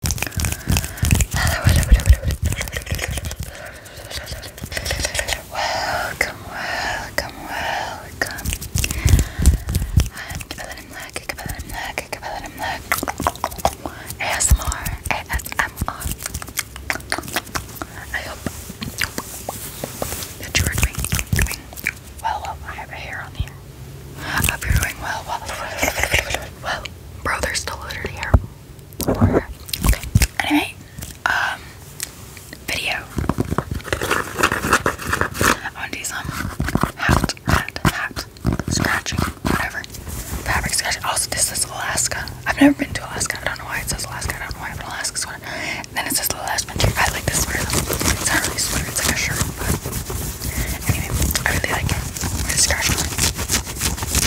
Welcome, welcome, welcome. I'm black, I'm black, I'm black. ASMR, ASMR. I hope that you are doing, well. I have hair on here. I hope you're doing well. Bro, they're still literally here. Okay. Anyway, um, video. I want to some hat, hat, hat, scratching, whatever. Fabric scratching. Also, this is Alaska. I've never been to Alaska. I don't know why it says Alaska. I don't know why, but Alaska's one. then it says the last winter. I like this sweater It's not really a sweater, it's like a shirt, Anyway, I really like scratching.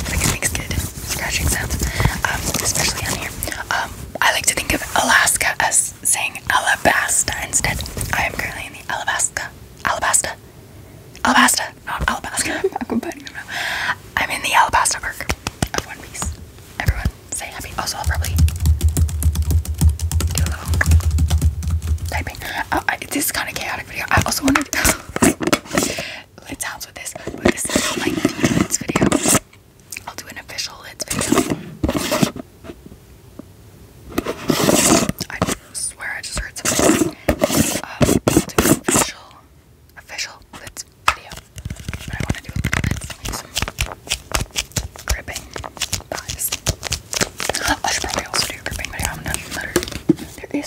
Like it makes good scratching sounds, um, especially on here. Um, I like to think of Alaska as saying Alabasta instead. I am currently in the Alabasta, Alabasta, Alabasta, not Alabasta. I'm in the Alabasta arc of One Piece. Everyone, say happy. Also, I'll probably do a little typing. Oh, this is kind of chaotic. I also want to do lid sounds with this, but this is not like video. I'll do an official lids video. I swear I just heard something. Uh, I'll do an official, official lids video. I want to do some gripping vibes. I should probably also do a gripping video. I'm not even better. There is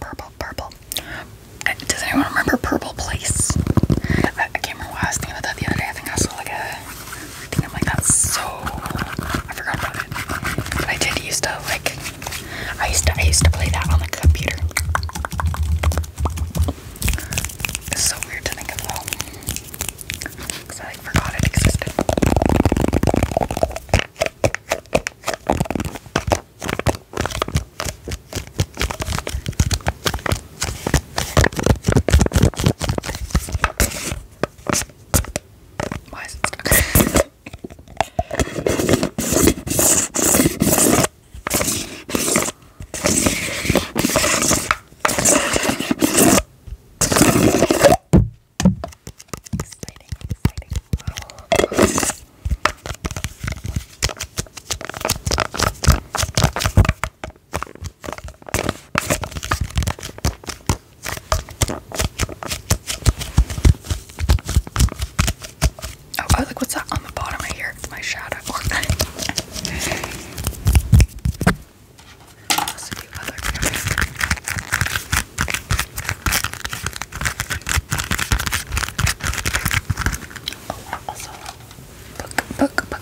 purple, purple, uh, Does anyone remember Purple Place? I, can't remember why I was thinking about that the other day. I think I saw like a. I think I'm like that's so. I forgot about it. I did used to like. I used to I used to play that on the computer. It's so weird to think of though, because I forgot it existed. Why is it stuck? exciting, exciting. Oh, look! what's that on the bottom right here? My shadow. Let's Also, book, book, book.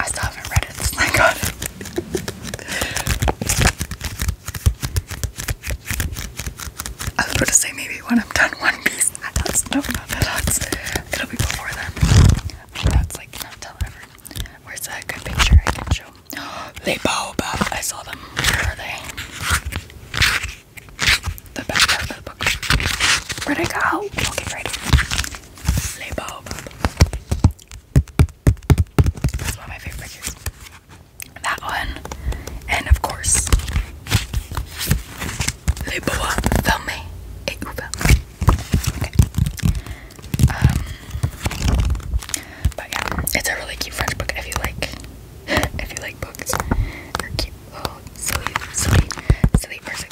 I still haven't read it since I I was about to say maybe when I'm done One Piece. That's no, not that's. It'll be before then. that's like not till ever. Where's a good picture I can show? They boba. I saw them. Where are they? the best part of the book. Where'd go? Okay, right. Les Bob. That's one of my favorite pictures. That one. And of course, Les Bob Fermé et um, it's a really cute French book if you like if you like books or cute Oh, sweet, sweet, sweet person.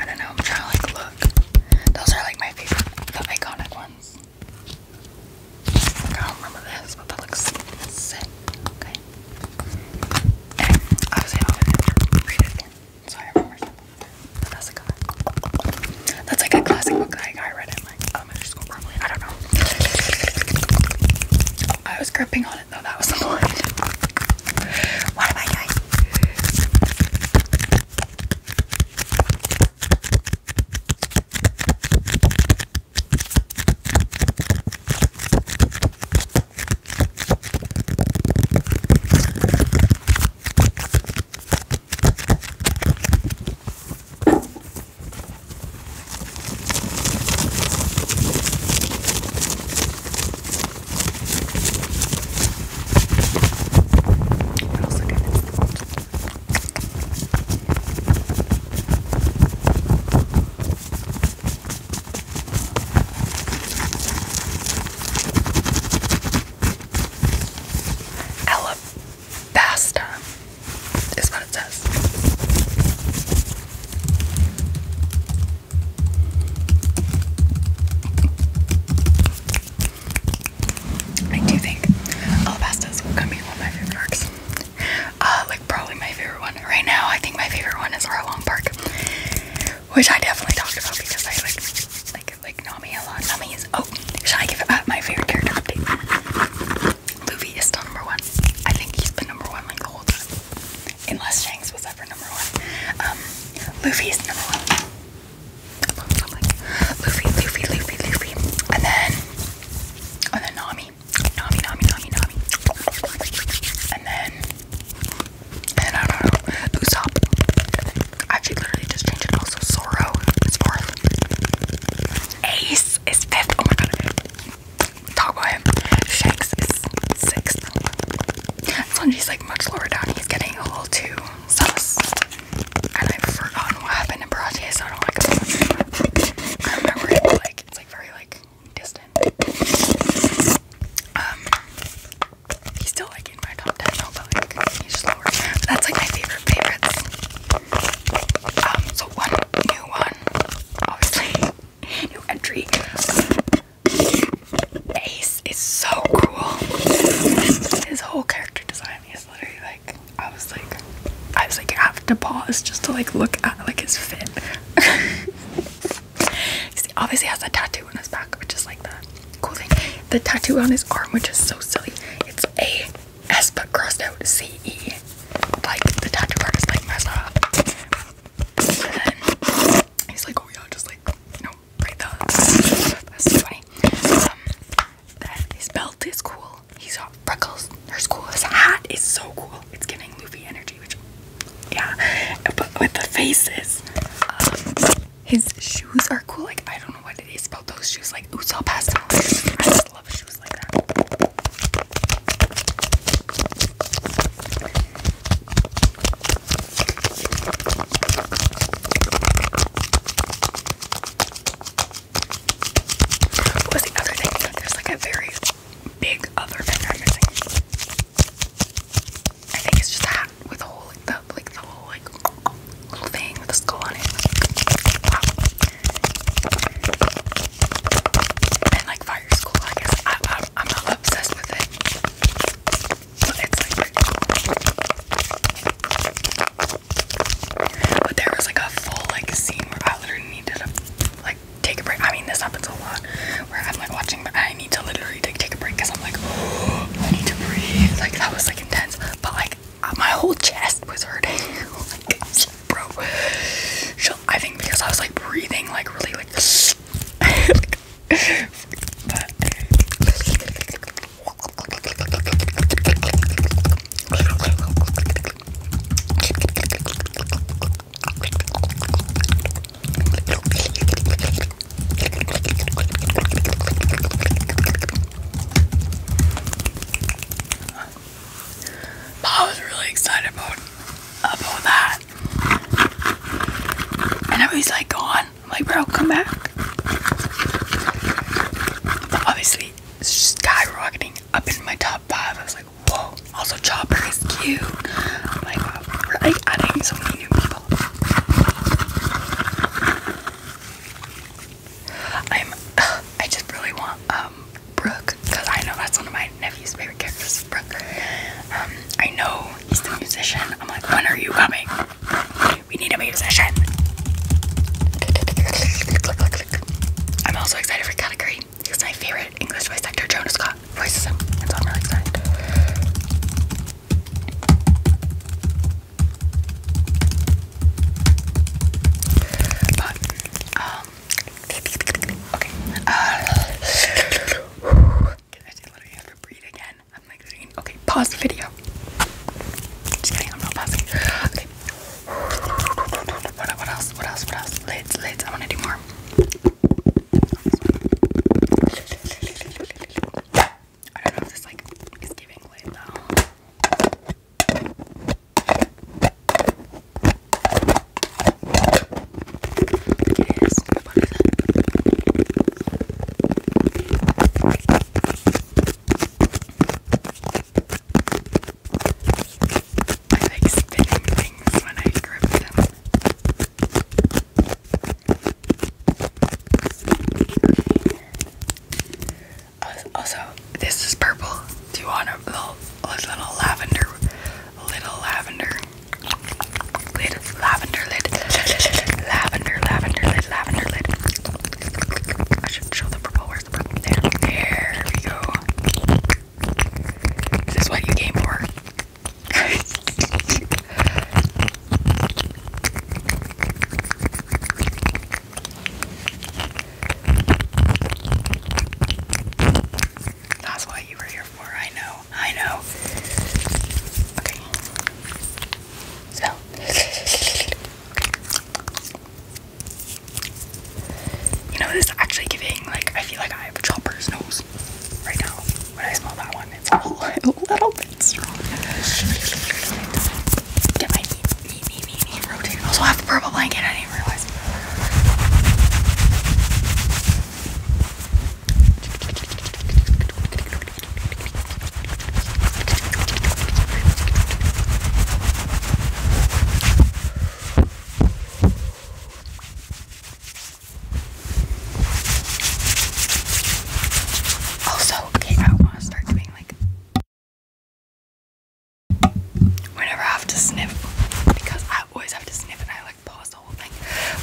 I don't know, I'm trying to like look. Those are like my favorite, the iconic ones. I don't remember this, but that looks sick. Okay. And I'll read it So I remember something. that's like a classic book. I read like elementary school probably. I don't know. I was gripping on it though. That was the point. What am I what else I got? Alabasta is what I do think alabastas will one of my favorite parks. Uh, like probably my favorite one right now. I think my favorite one is Arlong Park, which I definitely talked about because I like like like Nami a lot. Nami oh, should I give it up uh, my favorite character Luffy is still number one. I think he's been number one like the whole time. Unless Shanks was ever number one. Um, Luffy is number one. I'm like, Luffy, Luffy, Luffy, Luffy. And then, and then Nami. Nami, Nami, Nami, Nami. And then, and then I don't know, Usopp. Actually, literally just changed it. Also, Zoro is fourth. Ace is fifth. Oh my god talk about him. Shanks is sixth. Sanji's like much lower down. He's getting a little too sus. And I've forgotten what happened in Barate, so I don't like it so much. I remember it, like, it's like very like distant. Um, he's still like in my top 10 though, but like, he's just lower. That's like my favorite favorites. Um, so one new one obviously new entry. Ace is so cool. His whole character design is literally like I was like I was like I have to pause just to like look at like his fit. he obviously has a tattoo on his back, which is like the cool thing. The tattoo on his arm, which is so silly. It's a S but crossed out C E like the tattoo artist like messed up. And he's like, oh yeah, just like, you know, right there. That's so funny. Um, that, his belt is cool. He's got freckles. There's cool. His hat is so cool. It's giving Luffy energy, which, yeah. But with the faces, um, his shoes are cool. Like, I don't know what it is about those shoes. Like, Usopp has them. I love shoes thing? There's like a very big other thing I'm missing. I think it's just that with the whole like the like the whole like little thing with a skull on it. And like fire school, I guess I, am obsessed with it. But there was like a full like scene where I literally needed to like take a break. I mean, this happens a lot where I'm like watching, but I need to literally like, take a break because I'm like, oh, I need to breathe. Like that was like intense, but like my whole chest was hurting. like, oh bro. I think because I was like breathing like really like. like I was really excited about about that. And now he's like gone. I'm like, bro, come back. obviously, it's skyrocketing up in my top five. I was like, whoa. Also, Chopper is cute. I'm like, wow, we're like adding so many new people. I'm. I just really want um Brooke, because I know that's one of my nephew's favorite characters, Brooke. Um, I know he's the musician. I'm like, when are you coming? We need a musician. I'm also excited for category. He's my favorite English voice actor, Jonas Scott, voices him, I'm really excited. But, um, Okay. Uh, can I literally have to breathe again? I'm like, okay, pause the video. Just kidding, I'm not pausing. Okay. What, else? What else? What else? Lids, lids. I want to do more. I don't know if this like is lid though. I like spinning things when I grip them. Also, this is purple. Do you want a little, a little lavender little lavender. Lid, lavender lid, lavender, lavender lid, lavender lid. I should show the purple. Where's the purple? There, there we go. Is this what you came for? That's what you were here for. I know. I know. Okay. So. You know, this is actually giving, like, I feel like I have a chopper's nose right now. When I smell that one, it's a little bit strong. Get my knee, knee, knee, knee, knee Also, I have a purple blanket. I didn't realize guys. Also, okay, I want to start doing like whenever I have to sniff because I I always have to sniff and I like pause the whole thing.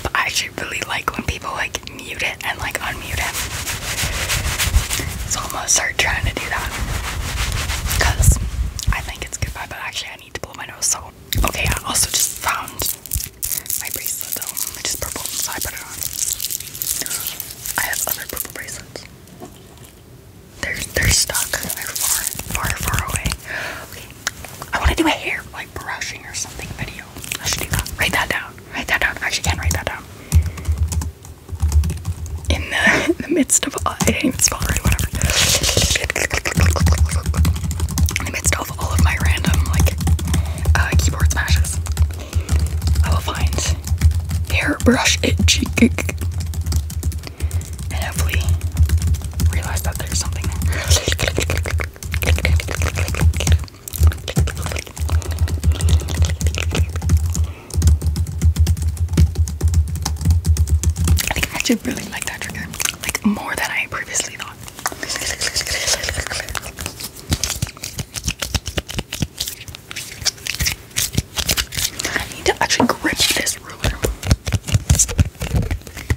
But I actually really like when people like mute it and like unmute it. So I'm gonna start trying to do that. Cause I think it's goodbye, but actually I need to blow my nose so okay, I also just found my bracelet though, which is purple, I put it on. I have other purple bracelets. They're they're stuck. They're far, far, far away. Okay. I want to do a hair like brushing or something video. I should do that. Write that down. Write that down. I actually can write that down. In the, the midst of I didn't even spell right, whatever. In the midst of all of my random like uh, keyboard smashes, I will find hairbrush itchy and hopefully realize that there's something there. I actually really like that trigger, like more than I previously thought. I need to actually grip this ruler.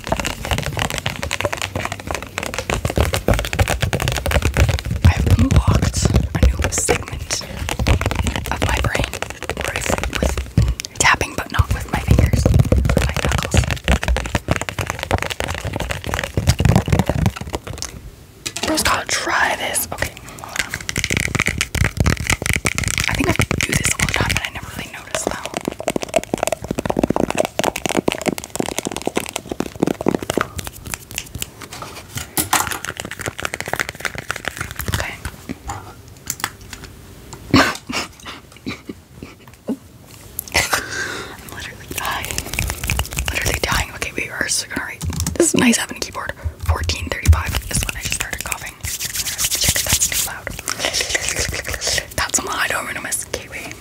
I've unlocked a new segment of my brain with, tapping, but not with my fingers, my knuckles. Bro's got try this. Okay, I think I do this all the I never Okay. I'm literally dying. Literally dying. Okay, we are so gonna write. This is nice having a keyboard. 1435 is when I just started coughing thing. Check if that's too loud. That's my anonymous kiwi.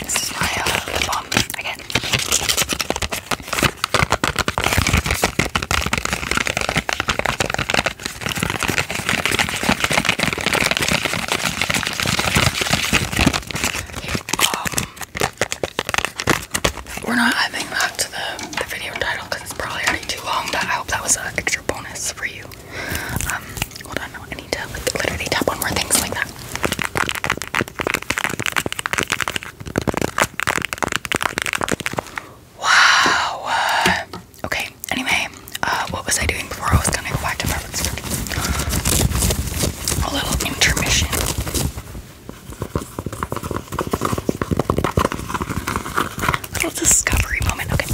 This is my uh, again. we're not adding that to the, video title because it's probably already too long, but I hope that was an bonus for you. Um, hold on, I need to like literally tap on more things like that. Wow. okay. Anyway, uh, what was I doing before I was gonna go back to preference? A little intermission little discovery moment. Okay.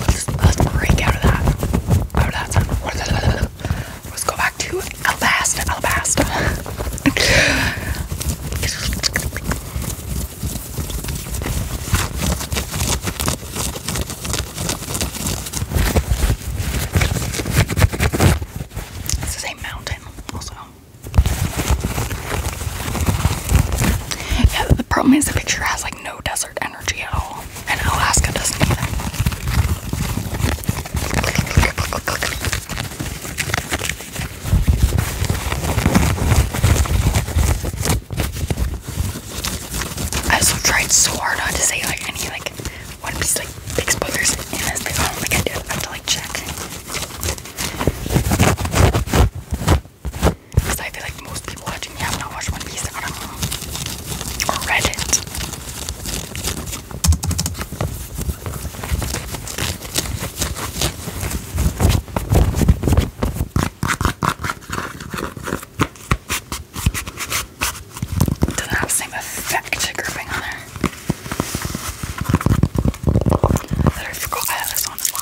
Let's, break out of that. Out of that Let's go back to Alabasta, Alabasta. this is a mountain also. Yeah, the problem is the picture has like no desert energy at all, and Alaska doesn't either. I also tried so hard not to say like any like one of these like big spoilers and this, but I don't think I did. I have to like check. Because I feel like most people watching me have not watched One Piece. I Or read it. doesn't have the same effect grouping on there. I forgot I had this on as well.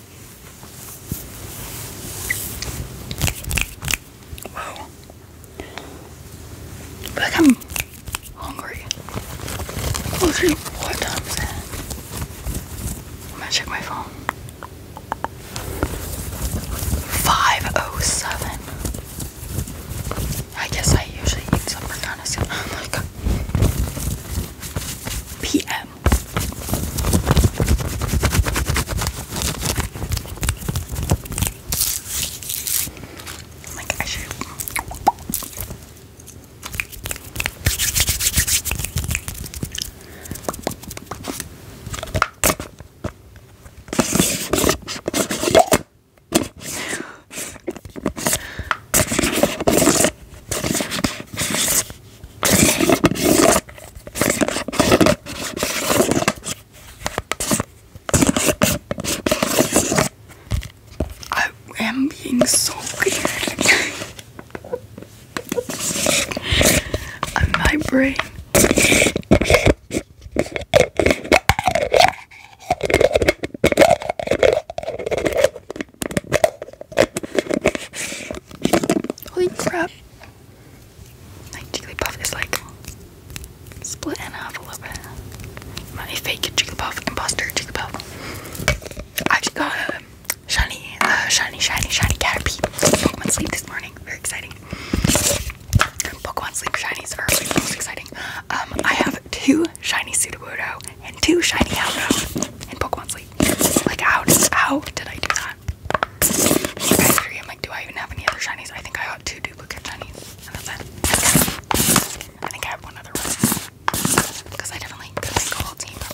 Wow. I I'm hungry. Oh, three, what time is it? I'm gonna check my phone. 5.07. I guess I usually eat some kind of soon. Like, PM them. Oh like I should. I am being so weird. My brain. Holy crap! Like Jigglypuff is like splitting off a little bit. My fake Jigglypuff imposter Jigglypuff. I just got a um, shiny, uh, shiny, shiny, shiny Caterpie Pokemon Sleep this morning. Very exciting. Pokemon Sleep shinies are really most exciting. Um, I have two shiny Sudowoodo and two shiny Houndoom in Pokemon Sleep. Like, how did, did I do that? I'm like, do I even have any other shinies? I think I got two duplicate shinies, I think I have one other one. Because I definitely could make a team of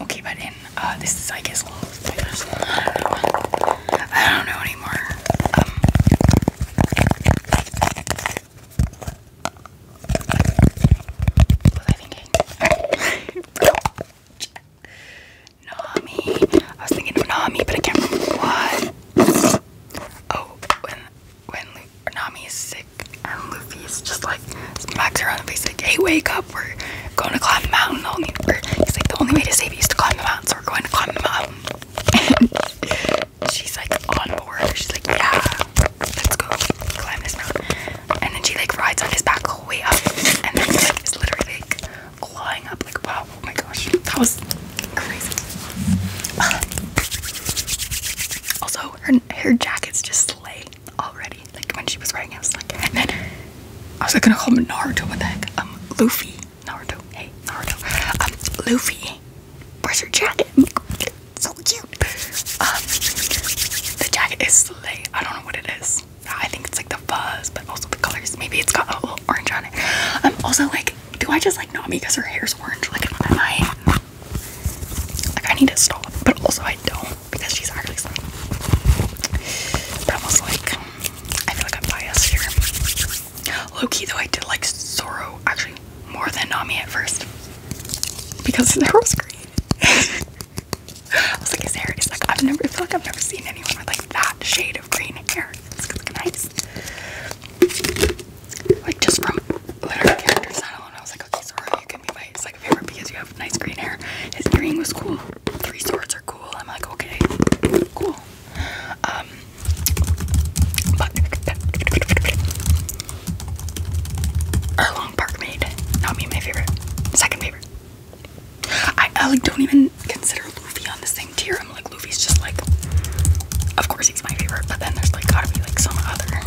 Okay, but in uh, this is I guess I don't know. I not know um, was I thinking? Nami. I was thinking of Nami, but I can't remember what. Oh, when Lu Nami is sick and is just like smacks her on the face like, hey, wake up, we're going to climb the mountain. Only he's like, the only way to save you to climb the mountain, so we're going to climb the mountain. she's like on board. She's like, yeah, let's go climb this mountain. And then she like rides on his back all the way up, and then he's like, is literally like clawing up like, wow, Oh my gosh, that was crazy. also, her her jackets just slay already. Like when she was wearing it, I was like, and then I was like gonna call him Naruto. What the heck? Um, Luffy, Naruto. Hey, Naruto. Um, Luffy, where's your jacket? So cute. Um, the jacket is slay. I don't know what it is. I think it's like the fuzz, but also the colors. Maybe it's got a little orange on it. Um, also like do I just like Nami because her hair's orange? Like I need to stop, but also I don't because she's actually slim. But I was like, I feel like I'm biased here. Low key though, I did like Zoro actually more than Nami at first because their was green. I was like, his hair is like I've never I feel like I've never seen anyone with like that shade of green hair. It's like nice like just from literary characters not alone. I was like, okay, Sora, you can be my second favorite because you have nice green hair. His earring was cool. Three swords are cool. I'm like, okay, cool. Um, but Erlong Park Maid, not me, my favorite, second favorite. I like don't even consider Luffy on the same tier. I'm like that just like, of course he's my favorite, but then there's like gotta be like some other.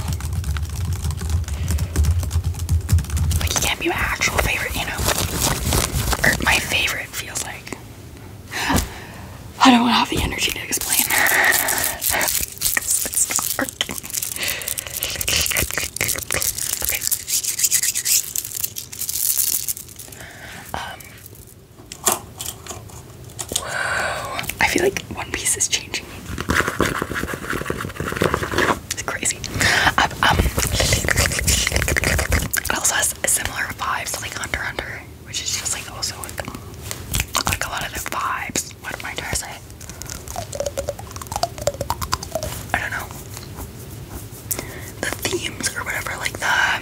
Like he can't be my actual favorite, you know? Or my favorite feels like. I don't have the energy to explain. Um, Whoa. I feel like One Piece is changing me. It's crazy. Um, um, it also has a similar vibes to like Under Under, which is just like also like, like a lot of the vibes. What am I trying to say? I don't know. The themes or whatever, like the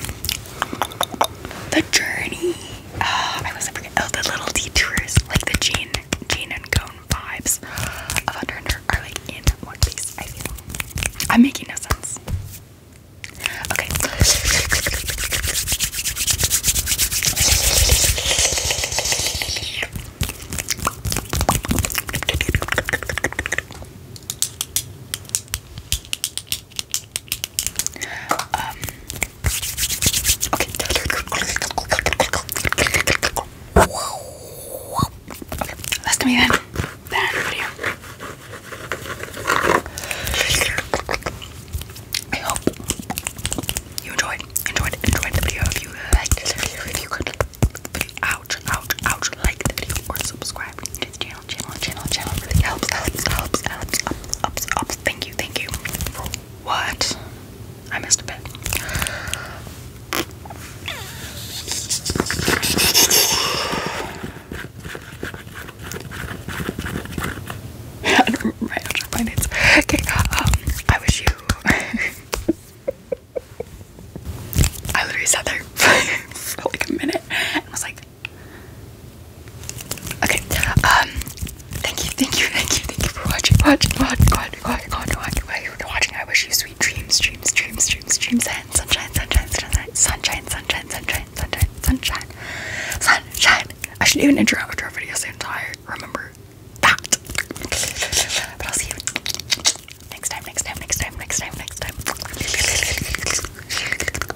the journey uh, I wasn't forgetting. Oh, the little detours, like the Gene, Gene and Cone vibes of Under are like in one piece. I feel I'm making no sense. Okay. Um, okay. okay. let me then. Then video. I hope you enjoyed, enjoyed, enjoyed the video. If you liked the video, if you could ouch, ouch, ouch, like the video or subscribe channel, channel, channel, channel. helps, helps, helps, helps, ups, ups. Thank you, thank you. what? I missed a bit. Okay, um, I wish you. I literally sat there for like a minute and was like, Okay. Um. Thank you. Thank you. Thank you. Thank you for watching. Watch. Watch. Watch. Watch. Watch. Watch. Watching. I wish you sweet dreams. Dreams. Dreams. Dreams. Dreams. And sunshine. Sunshine. Sunshine. Sunshine. Sunshine. Sunshine. Sunshine. Sunshine. Sunshine. I should do an intro outro video soon. Tired. Remember But I'll see you next time. Next time. Next time. Next time. Next time.